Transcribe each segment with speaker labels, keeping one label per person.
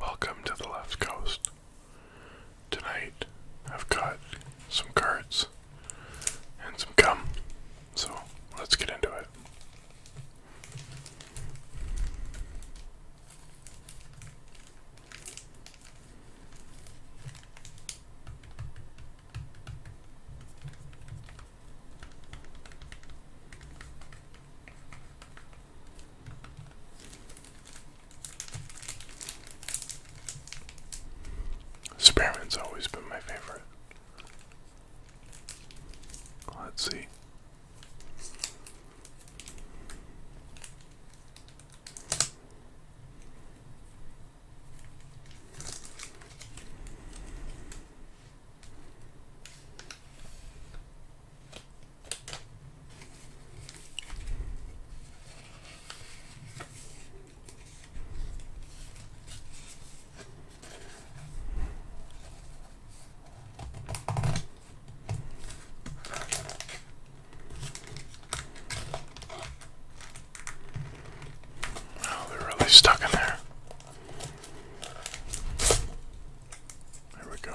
Speaker 1: Welcome to the left coast. Tonight I've got some cards and some gum. So let's get into it. Spearman's always been my favorite. Let's see. Oh, they're really stuck in there. There we go.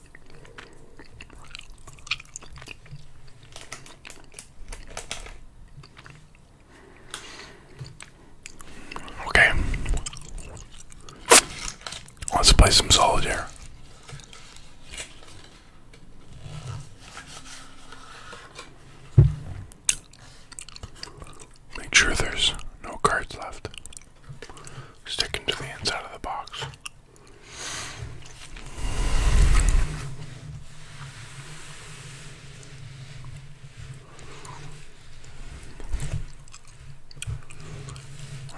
Speaker 1: Okay. Let's play some solitaire. Make sure there's no cards left. Sticking to the inside of the box.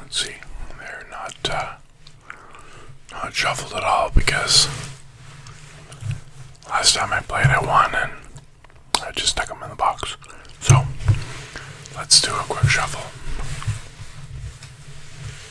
Speaker 1: Let's see, they're not uh, not shuffled at all because last time I played I won and I just stuck them in the box. So let's do a quick shuffle.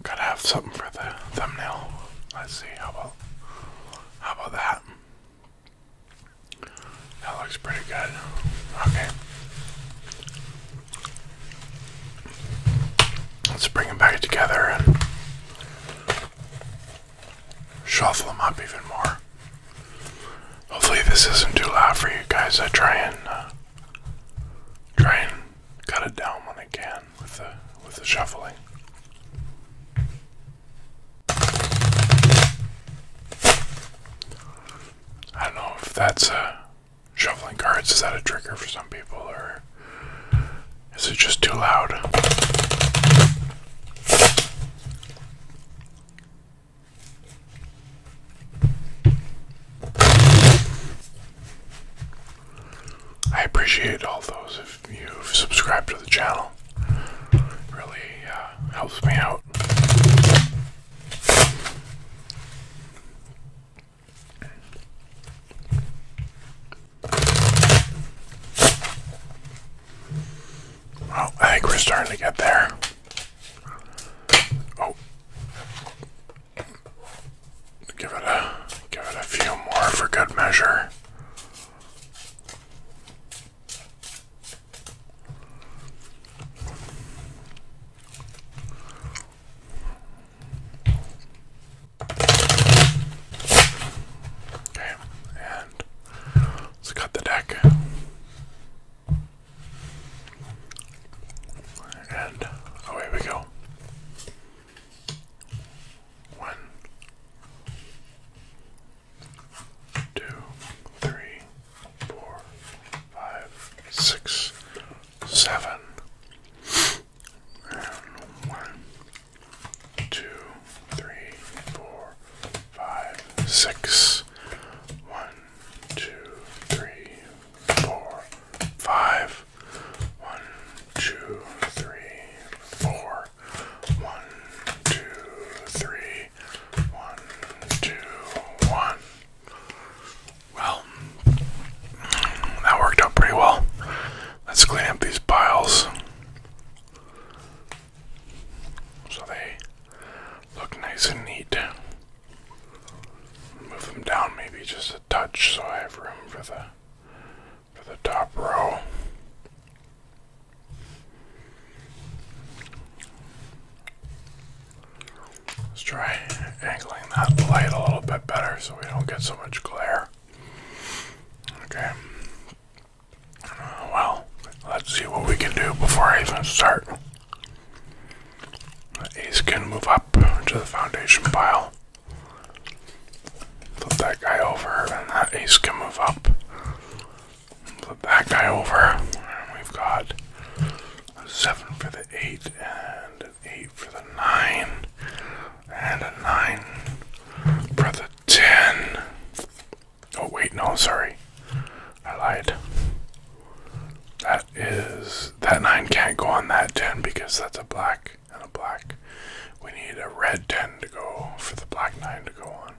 Speaker 1: Gotta have something for the thumbnail. Let's see, how about how about that? That looks pretty good. Okay. Let's bring them back together and shuffle them up even more. Hopefully this isn't too loud for you guys. I try and uh, try and cut it down when I can with the with the shuffling. I don't know if that's a Shuffling cards, is that a trigger for some people, or is it just too loud? I appreciate all those if you've subscribed to the channel. really uh, helps me out. Well, I think we're starting to get there. Oh, give it a give it a few more for good measure. Okay, and let's cut the deck. And away we go. One, two, three, four, five, six, seven, and one, two, three, four, five, six, one, two, three, four, five, one, two, three, four, one, two, three, one, two, one. Well, that worked out pretty well. Let's clean up these piles so they look nice and neat. Move them down maybe just a touch so I have room for the for the top row. Let's try angling that light a little bit better so we don't get so much glare. Okay. well, let's see what we can do before I even start. The ace can move up to the foundation pile. Flip that guy over, and that ace can move up. Flip that guy over. And we've got a seven for the eight. And an 8 for the 9, and a 9 for the 10. Oh, wait, no, sorry. I lied. That is. That 9 can't go on that 10 because that's a black and a black. We need a red 10 to go for the black 9 to go on.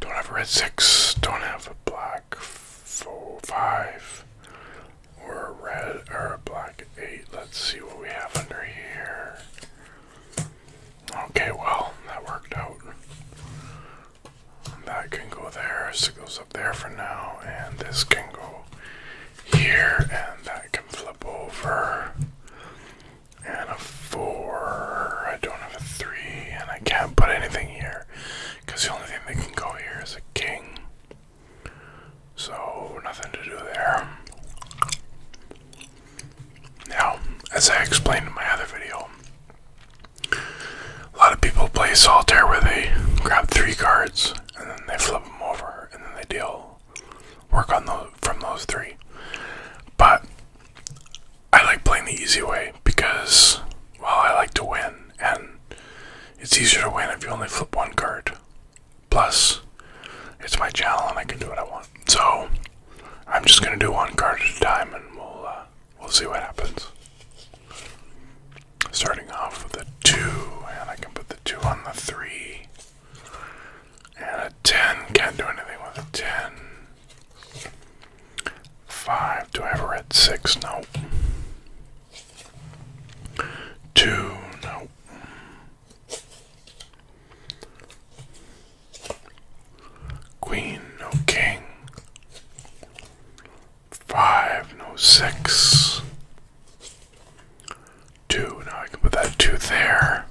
Speaker 1: Don't have a red 6. Don't have a black four, 5 or a red or a black eight. Let's see what we have under here. Okay, well, that worked out. That can go there, so it goes up there for now, and this can go here, and that can flip over. And a four. I don't have a three, and I can't put anything here because the only thing that can go here is a king. So, nothing to do there. Now, as I explained in my other video, a lot of people play Solitaire where they grab three cards and then they flip them over and then they deal, work on those from those three. But I like playing the easy way because, well, I like to win and it's easier to win if you only flip one card. Plus, it's my channel and I can do what I want. So, I'm just gonna do one card at a time and we'll uh, we'll see what happens. Starting off with a two, and I can put the two on the three. And a ten, can't do anything with a ten. Five. Do I ever read six? No. Two. No. Queen. No. King. Five. No. Six. Two. Now I can put that two there.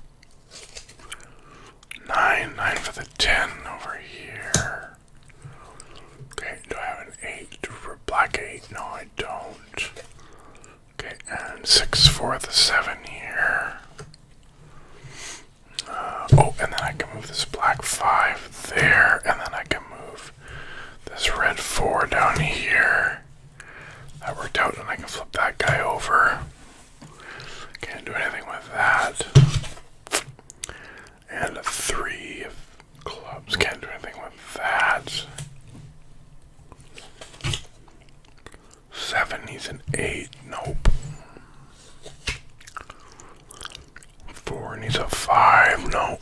Speaker 1: Nine. Nine for the ten over here. Okay, do I have an 8 for black 8? No, I don't. Okay, and 6 for the 7 here. Uh, oh, and then I can move this black 5 there, and then I can move this red 4 down here. That worked out, and I can flip that guy over. Can't do anything with that. And three of clubs. Can't do anything with that. Seven needs an eight. Nope. Four needs a five. No.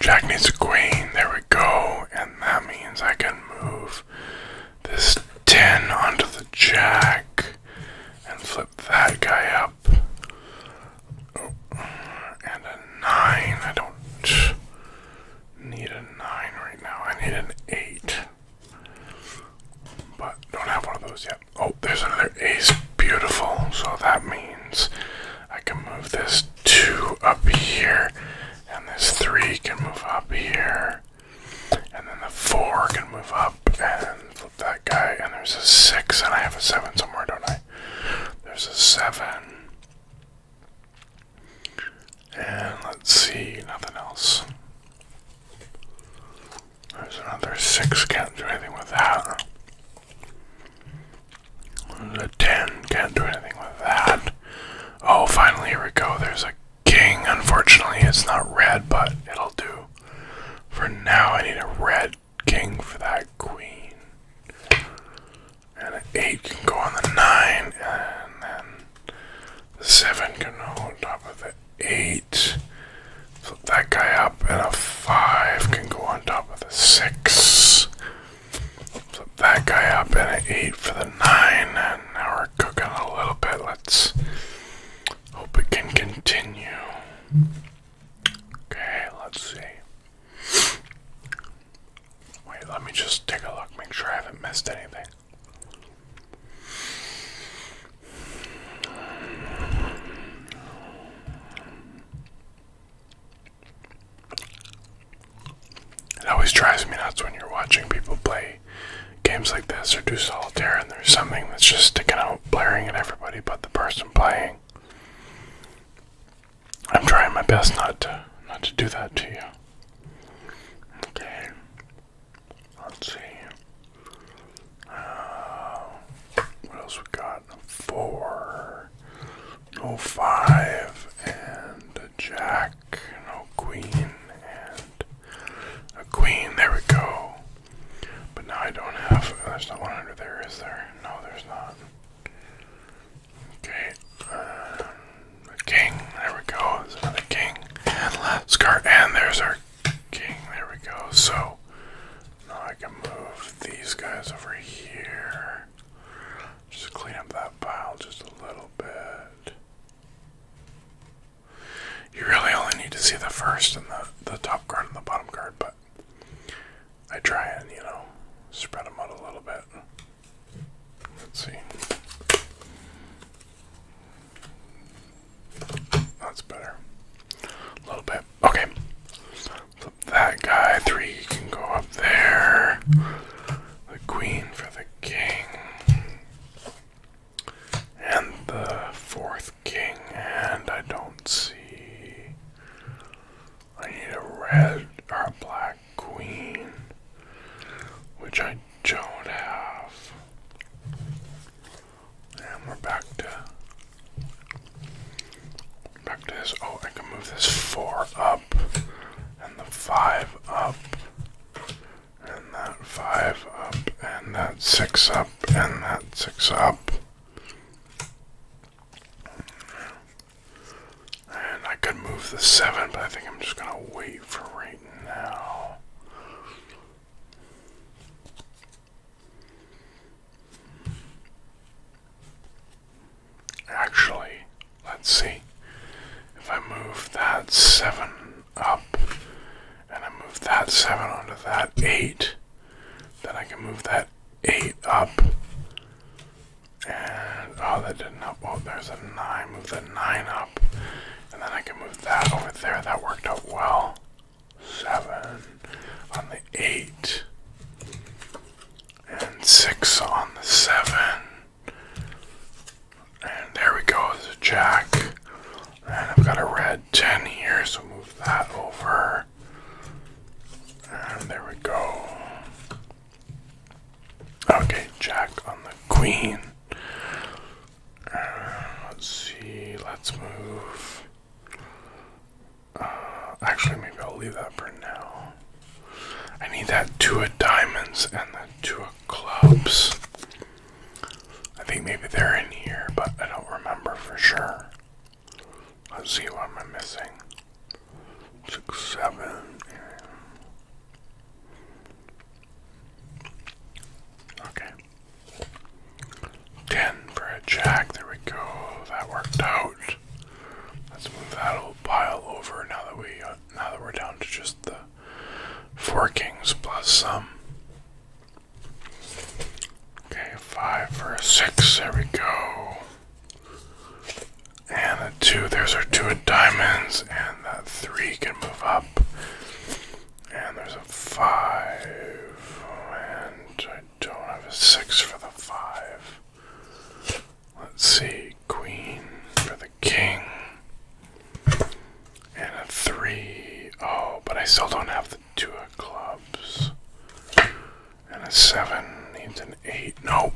Speaker 1: Jack needs a queen. There we go. And that means I can move this 10 onto the jack and flip that guy up. Oh, and a 9. I don't need a 9 right now. I need an 8. But don't have one of those yet. Oh, there's another ace. Beautiful. So that means I can move this 2 up here. And this 3 can move up here. And then the 4 can move up and flip that guy, and there's a six, and I have a seven somewhere, don't I? There's a seven. And let's see, nothing else. There's another six, can't do anything with that. There's a ten, can't do anything with that. Oh, finally, here we go. There's a king. Unfortunately, it's not red, but it'll do. For now, I need a red king for that queen. And an 8 can go on the 9, and then the 7 can go on top of the 8. Flip that guy up, and a 5 can go on top of the 6. Flip that guy up, and an 8 for the 9. And now we're cooking a little bit. Let's Hope it can continue. Okay, let's see. Wait, let me just take a look, make sure I haven't missed anything. It always drives me nuts when you're watching people play games like this or do solitaire and there's something that's just sticking out, blaring at everybody but the person playing. I'm trying my best not to not to do that to you. Okay. Let's see. Uh, what else we got? Four. No oh, and a jack. No queen and a queen. There we go. But now I don't have. There's not 100 there, is there? No, there's not. Okay. Um, king. There we go. There's another king. And last card. And there's our king. There we go. So now I can move these guys over here. Just clean up that pile just a little bit. You really only need to see the first and the, the top card and the bottom card, but I try and, you know, spread them out a little bit. Let's see. That's better. A little bit. Okay. Flip that guy. Three can go up there. The queen for the king and the fourth king, and I don't see. I need a red or a black queen, which I don't have. And we're back to back to this. Oh, I can move this four up and the five up and that five up, and that six up, and that six up. And I could move the seven, but I think I'm just gonna wait for right now. Actually, let's see. If I move that seven up and I move that 7 onto that 8, then I can move that 8 up. And oh, that didn't up. Oh, there's a 9. Move the 9 up. And then I can move that over there. That worked out well. 7 on the 8. And 6 on the 7. And there we go, jack. And I've got a red 10 here, so move that over. And there we go. Okay, jack on the queen. Uh, let's see, let's move. Uh, actually, maybe I'll leave that for now. I need that two of diamonds and the two of clubs. I think maybe they're in here, but I don't remember for sure. Let's see what am I missing. Six, seven. Okay. Ten for a jack. There we go. That worked out. Let's move that old pile over now that we uh, now that we're down to just the four kings plus some. Okay, five for a six. There we go. And a two. There's our two of diamonds. And that three can move up. And there's a five. And I don't have a six for the five. Let's see. Queen for the king. And a three. Oh, but I still don't have the two of clubs. And a seven needs an eight. Nope.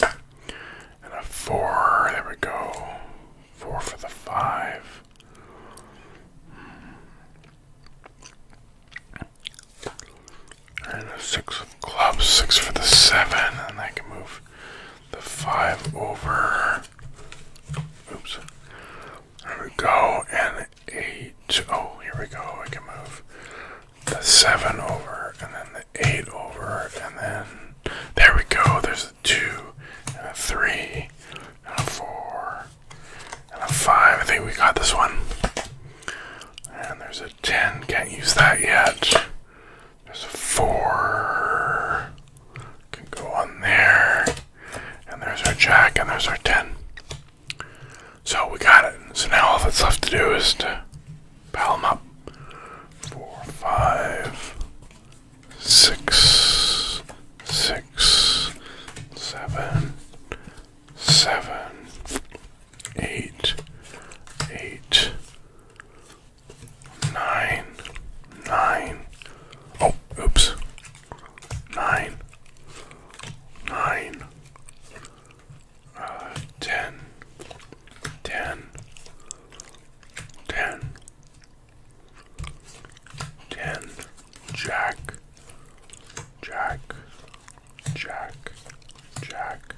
Speaker 1: And a four. There we go. Four for the five. And a six of clubs. Six for the seven. And I can move the five over. Oops we go and eight. Oh, here we go. I can move the seven over and then the eight over and then there we go. There's a two and a three and a four and a five. I think we got this one. And there's a ten. Can't use that yet. There's a four. Can go on there. And there's our jack and there's our 10. So we got it. So now all that's left to do is to pile them up. Four, five, six, six, seven, seven, eight, eight, nine, nine, Oh, oops. Nine. Nine. Uh, ten. Ten. Ten. Ten. Jack. Jack. Jack. Jack.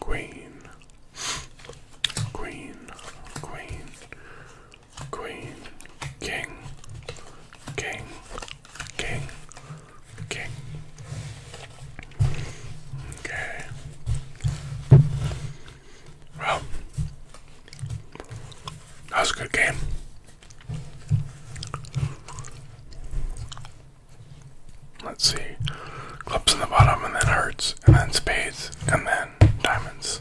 Speaker 1: Queen. Queen. Queen. Queen, King, King, King, King. Okay. Well, that was a good game. Let's see. Clips in the bottom and then Hurts and then spades, and then diamonds.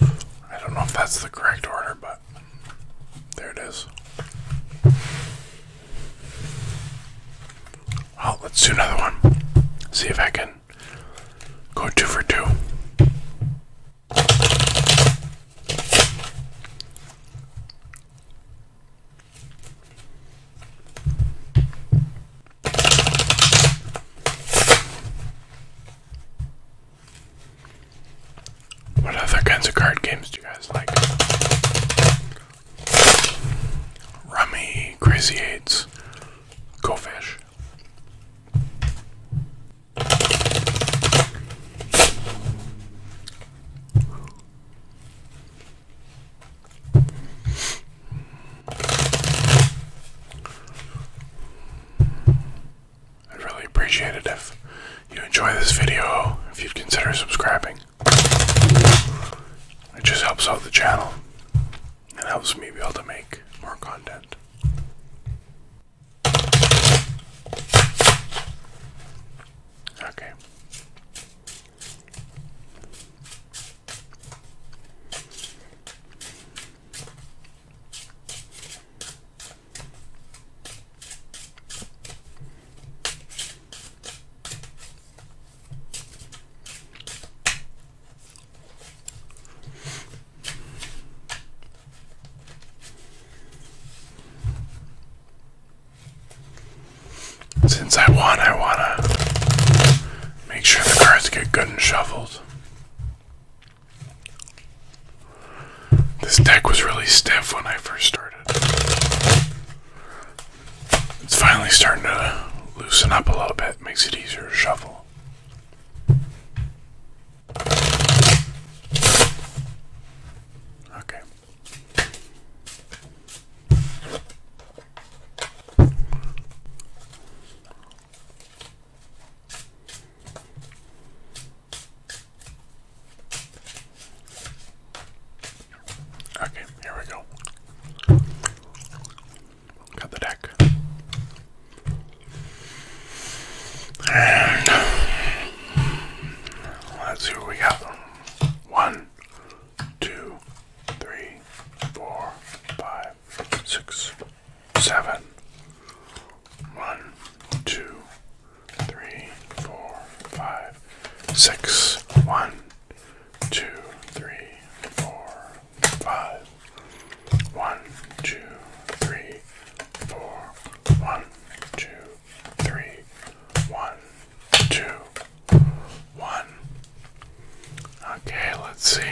Speaker 1: I don't know if that's the correct order, but there it is. Well, oh, let's do another one. See if I can go two for two. What other kinds of card games do you guys like? Rummy, Crazy Eights, Go Fish. I'd really appreciate it if you enjoy this video, if you'd consider subscribing. It just helps out the channel and helps me be able to make more content. Okay. Since I won, I want to make sure the cards get good and shuffled. This deck was really stiff when I first started. It's finally starting to loosen up a little bit, makes it easier to shuffle. Okay. Okay, here we go. Got the deck. And let's see what we got. One, two, three, four, five, five, six, seven. One, two, three, four, five, six. One, two, three, four, five. One, two, three, four. One, two, three. One, two, one. Okay, let's see.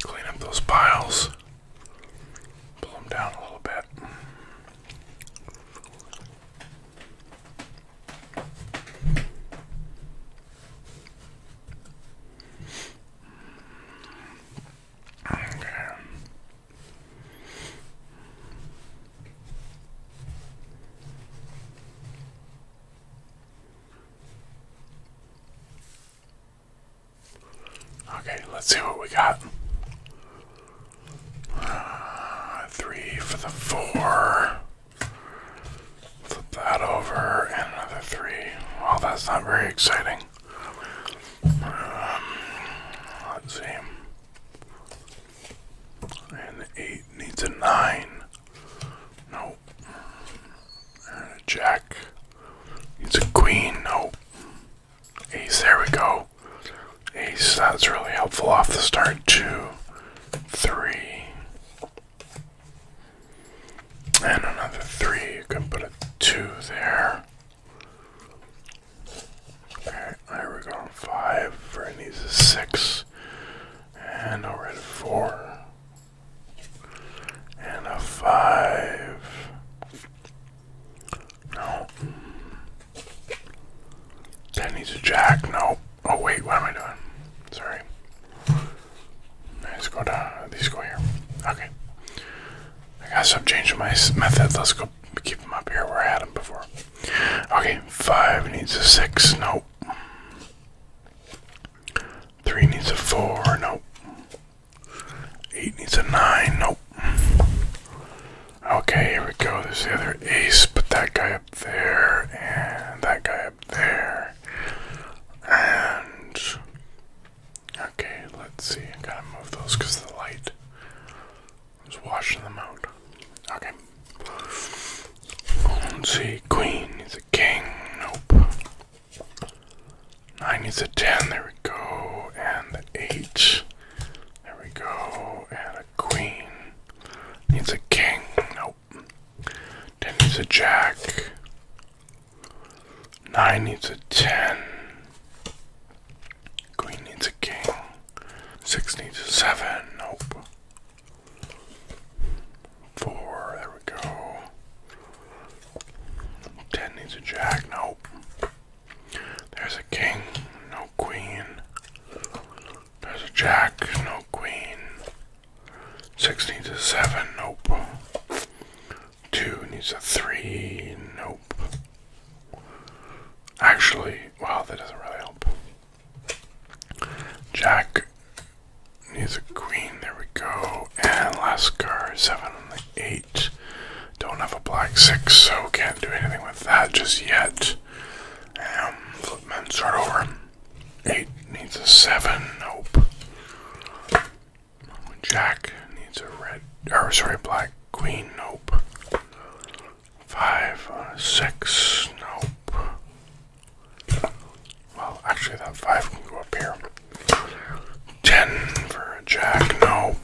Speaker 1: Clean up those piles, pull them down a little bit. Okay. Okay, let's see what we got. Uh, three for the four. Flip that over, and another three. Well, that's not very exciting. Um, let's see. And eight needs a nine. Nope. And a jack It's a queen. Nope. Ace, there we go. Ace, that's really helpful off the start. Two, three. And another three. You can put a two there. Alright, there we go. Five. Vern needs a six. And I'll write a four. And a five. No. That needs a jack. No. Oh, wait, what am I doing? Sorry. Let's go down. These go here. Okay. I guess I'm changing my method. Let's go keep them up here where I had them before. Okay, five needs a six. Nope. Three needs a four. Nope. Eight needs a nine. Nope. Okay, here we go. There's the other ace. Put that guy up there, and that guy up there. And. Okay, let's see. I gotta move those because of the light. Just washing them out. Okay. Let's see. Queen needs a king. Nope. Nine needs a ten. There we go. And an eight. There we go. And a queen needs a king. Nope. Ten needs a jack. Nine needs a ten. Queen needs a king. Six needs a seven. Nope. Four. There we go. Ten needs a jack. Nope. There's a king. No queen. There's a jack. No queen. Six needs a seven. Nope. Two needs a three. Nope. Actually, wow, that doesn't really help. Jack needs a queen. There we go. And last card, seven, eight. Don't have a black six, so can't do anything with that just yet. Um, flip men start over. Eight needs a seven. Nope. Jack needs a red. Or sorry, black queen. Nope five, six, nope. Well, actually, that five can go up here. Ten for a jack, nope.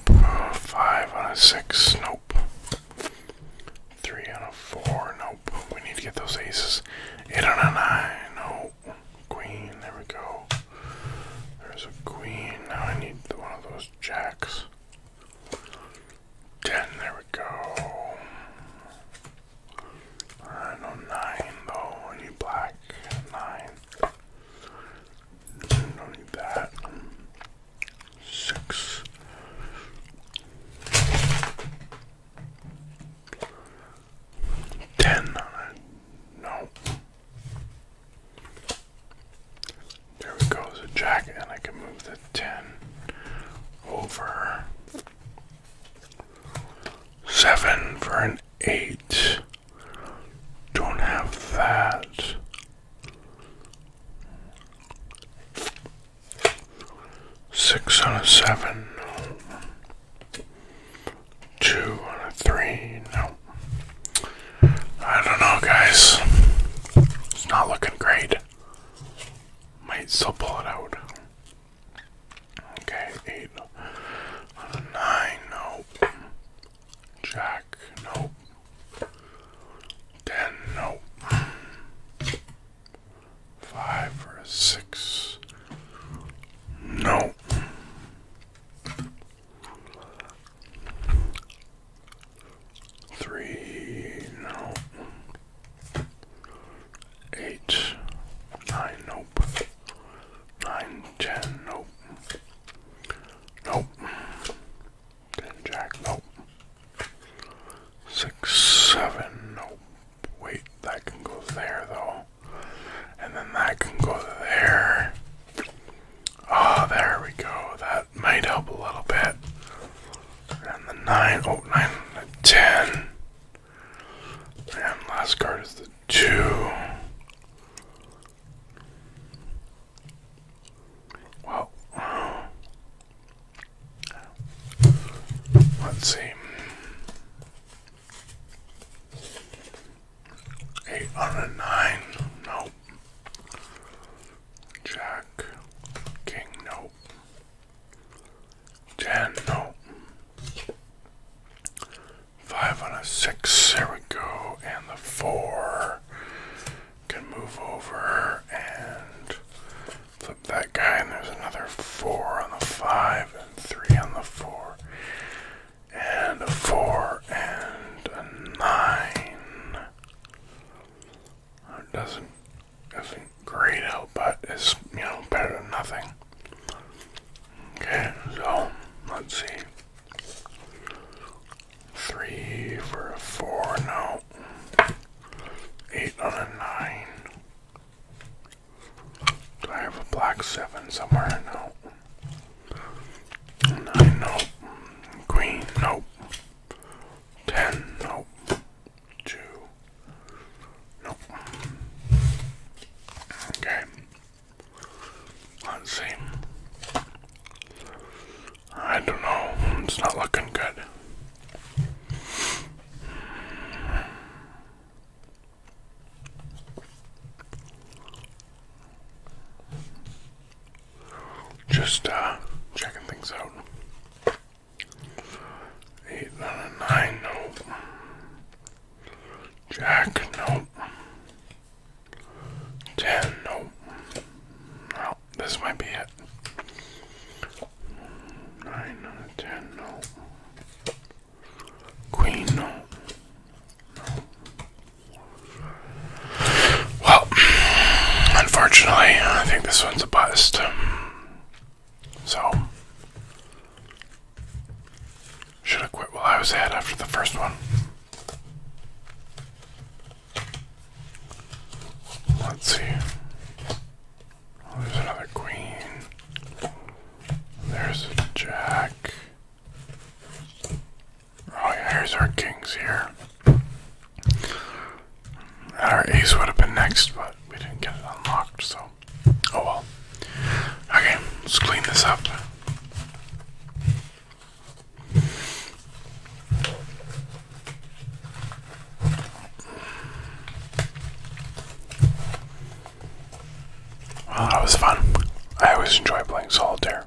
Speaker 1: Five on a six, nope. Three on a four, nope. We need to get those aces. Eight on a nine, nope. Queen, there we go. There's a queen. Now I need one of those jacks. 10, there we go. I know 9 though, need black. 9. Don't need that. 6. Ten No. There we go, jack, and I can move the 10 over 7 for an 8. Don't have that. Six on a seven, two on a three, no. I don't know, guys. It's not looking great. Might still pull it out. Okay, eight on nine. Nope. Jack. No. Ten. Nope. Five or a six. Nope. Three, no. Eight, nine, nope. Nine, ten, nope. Nope. Ten, jack, nope. Six, seven, nope. Wait, that can go there though. And then that can go there. Oh, there we go. That might help a little bit. And the 9, oh, 9, the 10. And last card is the 2. Well, uh, let's see. 8 Nope. Jack, King, nope. Ten, no, Five on a six, there we go. And the four can move over and flip that guy. And there's another four on the five, and three on the four, and a four, and a nine. It doesn't isn't great out, but it's you know better than nothing. Okay, so let's see. Three for a four, no. Eight on a nine. Do I have a black seven somewhere? No. Nine, No. Queen, nope ten, nope, two, nope. Okay, let's see. I don't know, it's not looking good. Just uh, checking things out. Eight on a nine, nope. Jack, nope. Ten, nope. Well, this might be it. Nine on a ten, nope. Queen, nope. No. Well, unfortunately, I think this one's a bust. So, should have quit while I was ahead after the first one. Let's see. Oh, there's another queen. There's a jack. Oh yeah, here's our kings here. Our ace would have been next, but we didn't get it unlocked, so oh well. Okay, let's clean this up. Well, that was fun. I always enjoy playing solitaire.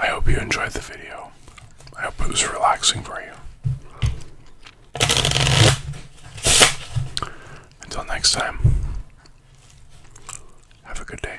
Speaker 1: I hope you enjoyed the video. I hope it was relaxing for you. Until next time, have a good day.